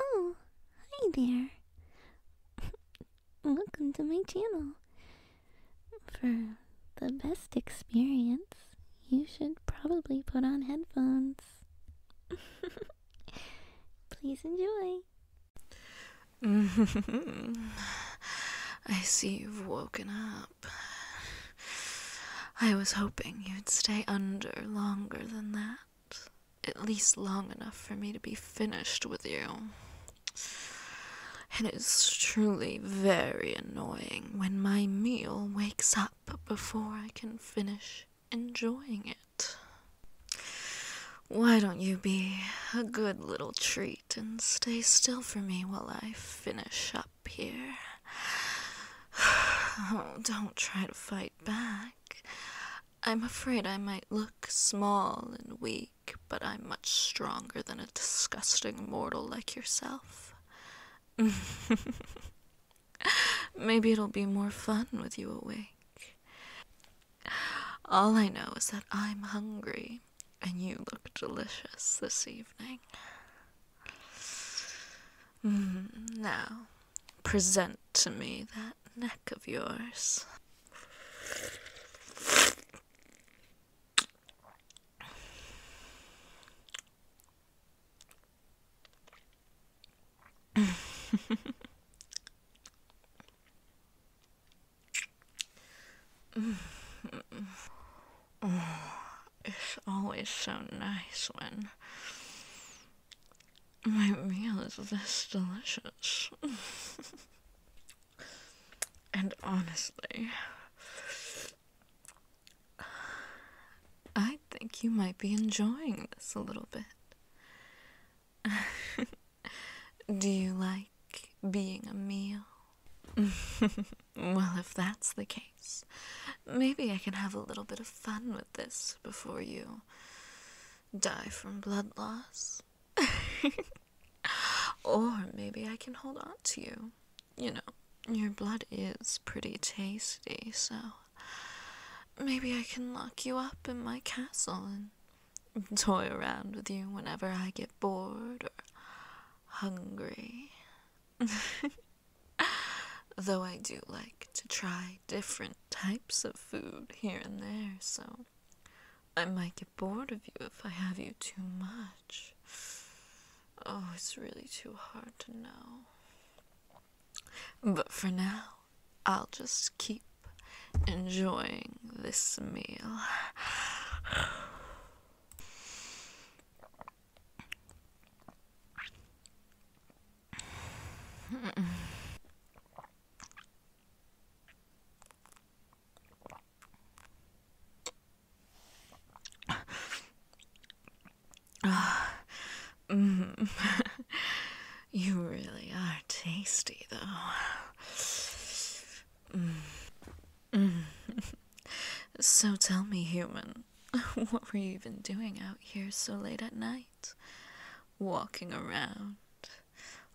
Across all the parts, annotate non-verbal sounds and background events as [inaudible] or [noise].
Oh, hi there. [laughs] Welcome to my channel. For the best experience, you should probably put on headphones. [laughs] Please enjoy. [laughs] I see you've woken up. [laughs] I was hoping you'd stay under longer than that. At least long enough for me to be finished with you. And it's truly very annoying when my meal wakes up before I can finish enjoying it. Why don't you be a good little treat and stay still for me while I finish up up here. [sighs] Oh, don't try to fight back. I'm afraid I might look small and weak, but I'm much stronger than a disgusting mortal like yourself. [laughs] Maybe it'll be more fun with you awake. All I know is that I'm hungry, and you look delicious this evening. Mm, now, present to me that neck of yours it's [sighs] always so nice when my meal is this delicious. [laughs] and honestly, I think you might be enjoying this a little bit. [laughs] Do you like being a meal? [laughs] Well, if that's the case, maybe I can have a little bit of fun with this before you die from blood loss. [laughs] or maybe I can hold on to you. You know, your blood is pretty tasty, so maybe I can lock you up in my castle and toy around with you whenever I get bored or hungry. [laughs] Though I do like to try different types of food here and there, so I might get bored of you if I have you too much. Oh, it's really too hard to know. But for now, I'll just keep enjoying this meal. [sighs] mm. [laughs] You really are tasty, though. Mm. so tell me, human, [laughs] what were you even doing out here so late at night? Walking around,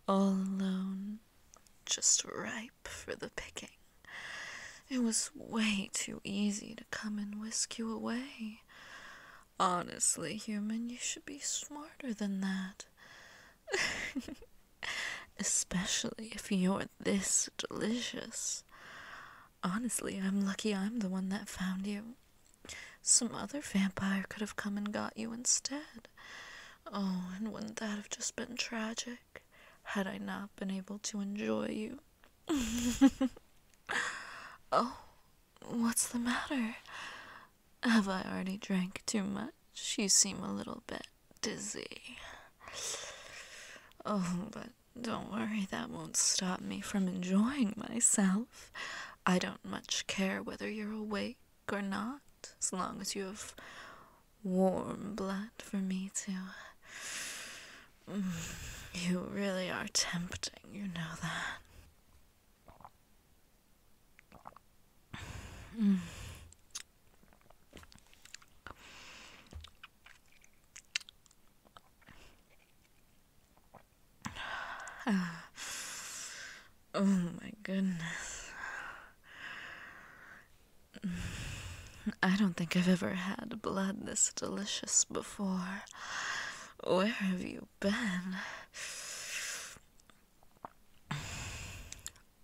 all alone, just ripe for the picking. It was way too easy to come and whisk you away. Honestly, human, you should be smarter than that. [laughs] Especially if you're this delicious. Honestly, I'm lucky I'm the one that found you. Some other vampire could have come and got you instead. Oh, and wouldn't that have just been tragic had I not been able to enjoy you? [laughs] oh, What's the matter? Have I already drank too much? You seem a little bit dizzy. Oh, but don't worry, that won't stop me from enjoying myself. I don't much care whether you're awake or not, as long as you have warm blood for me to. Mm, you really are tempting, you know that. Mm. [sighs] oh my goodness. I don't think I've ever had blood this delicious before. Where have you been?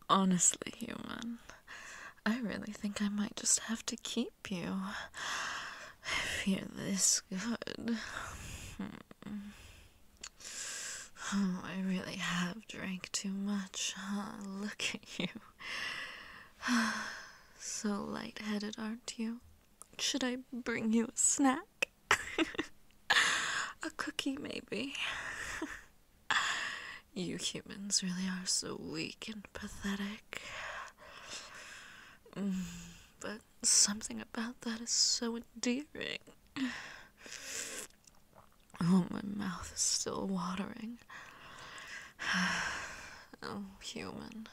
Honestly, human, I really think I might just have to keep you. If you're this good. Hmm. Oh, I really have drank too much, huh? Look at you. [sighs] [sighs] So light-headed, aren't you? Should I bring you a snack? [laughs] a cookie, maybe. [laughs] you humans really are so weak and pathetic. Mm, but something about that is so endearing. [sighs] Oh, my mouth is still watering. [sighs] [sighs] I'm oh, human.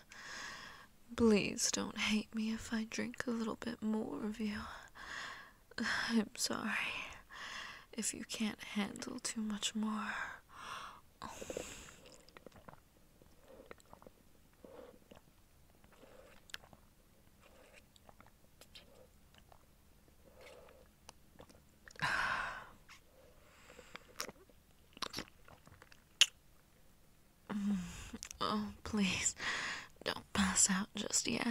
Please don't hate me if I drink a little bit more of you. [sighs] I'm sorry if you can't handle too much more. [sighs] Oh, please, don't pass out just yet.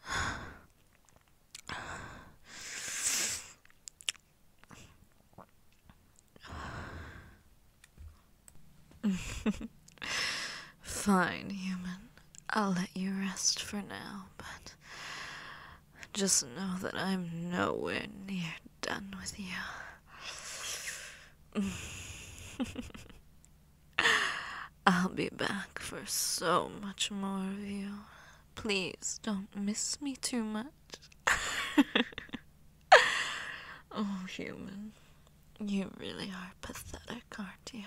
[sighs] Fine, human. I'll let you rest for now, but just know that I'm nowhere near done with you. [laughs] I'll be back for so much more of you. Please don't miss me too much. [laughs] oh, human. You really are pathetic, aren't you?